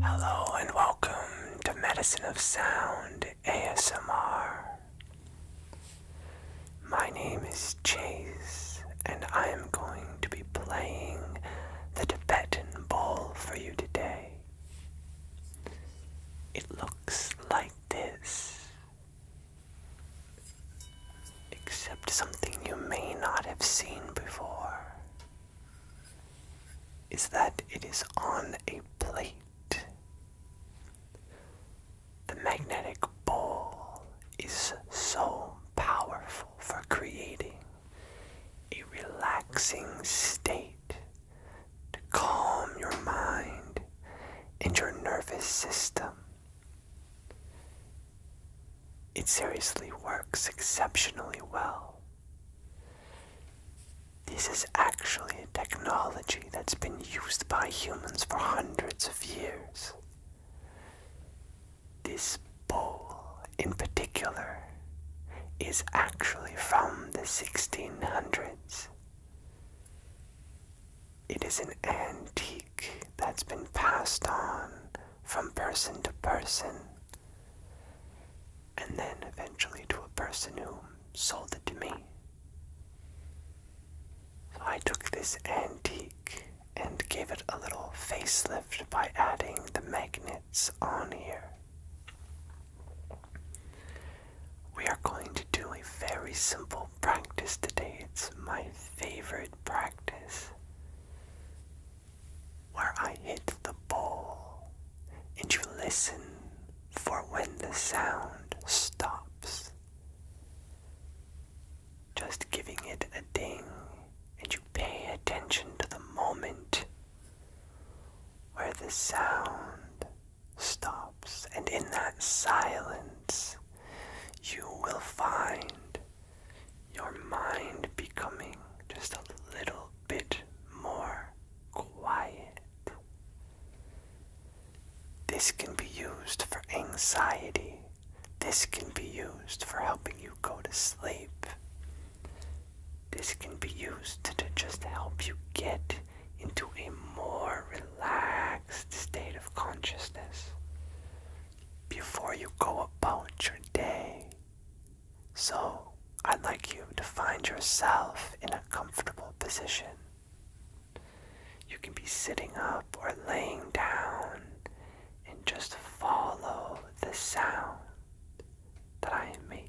Hello and welcome to Medicine of Sound ASMR. My name is Chase, and I am going to be playing the Tibetan bowl for you today. It looks like this, except something you may not have seen before is that it is on a plate. The magnetic ball is so powerful for creating a relaxing state to calm your mind and your nervous system. It seriously works exceptionally well this is actually a technology that's been used by humans for hundreds of years. This bowl, in particular, is actually from the 1600s. It is an antique that's been passed on from person to person and then eventually to a person who sold it to me. I took this antique and gave it a little facelift by adding the magnets on here. We are going to do a very simple practice today. It's my favorite practice where I hit the bowl, and you listen for when the sound stops. Just giving it a ding, and you pay attention to the moment where the sound stops, and in that silence, you will find your mind becoming just a little bit more quiet. This can be used for anxiety. This can be used for helping you go to sleep. This can be used to, just help you get into a more relaxed state of consciousness before you go about your day. So, I'd like you to find yourself in a comfortable position. You can be sitting up or laying down and just follow the sound that I am making.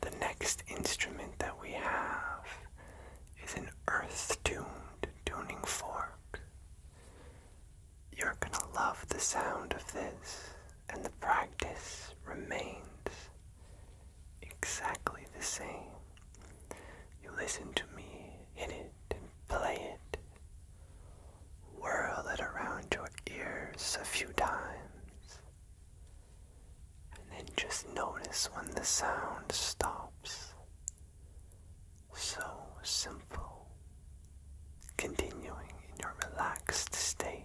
The next instrument that we have is an earth tuned tuning fork. You're gonna love the sound of this, and the practice remains exactly the same. You listen to me hit it play it Whirl it around your ears a few times. And then just notice when the sound stops. So simple. Continuing in your relaxed state.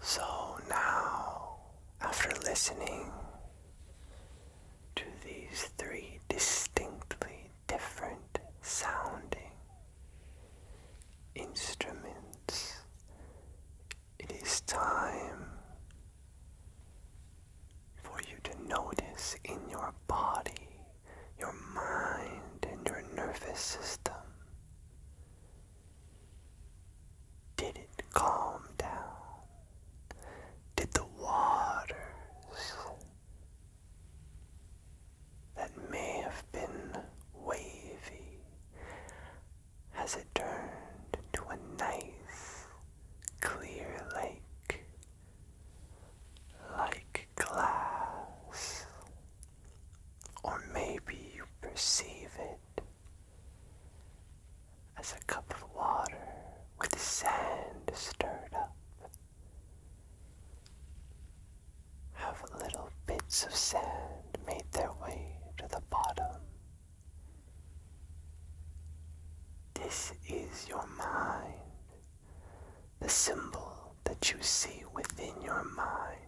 So now, after listening to these three distinctly different sounding instruments, it is time for you to notice in your body your mind and your nervous system. Did it calm down? Did the waters that may have been wavy, has it turned into a nice, clear lake? Like glass. Or maybe you perceive it as a cup of water with sand stirred up. Have little bits of sand made their way to the bottom. This is your mind the symbol that you see within your mind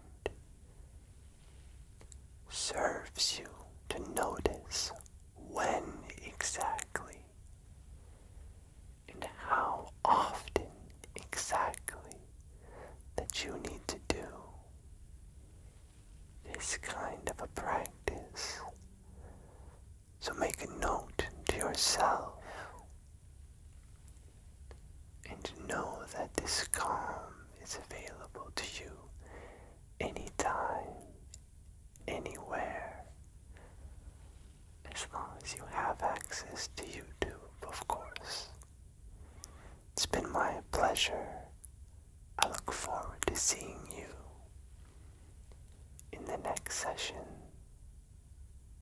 serves you to notice when exactly and how often exactly that you need to do this kind of a practice. So make a note to yourself and know that this calm is available to you anytime, anywhere, as long as you have access to YouTube, of course. It's been my pleasure. I look forward to seeing you in the next session.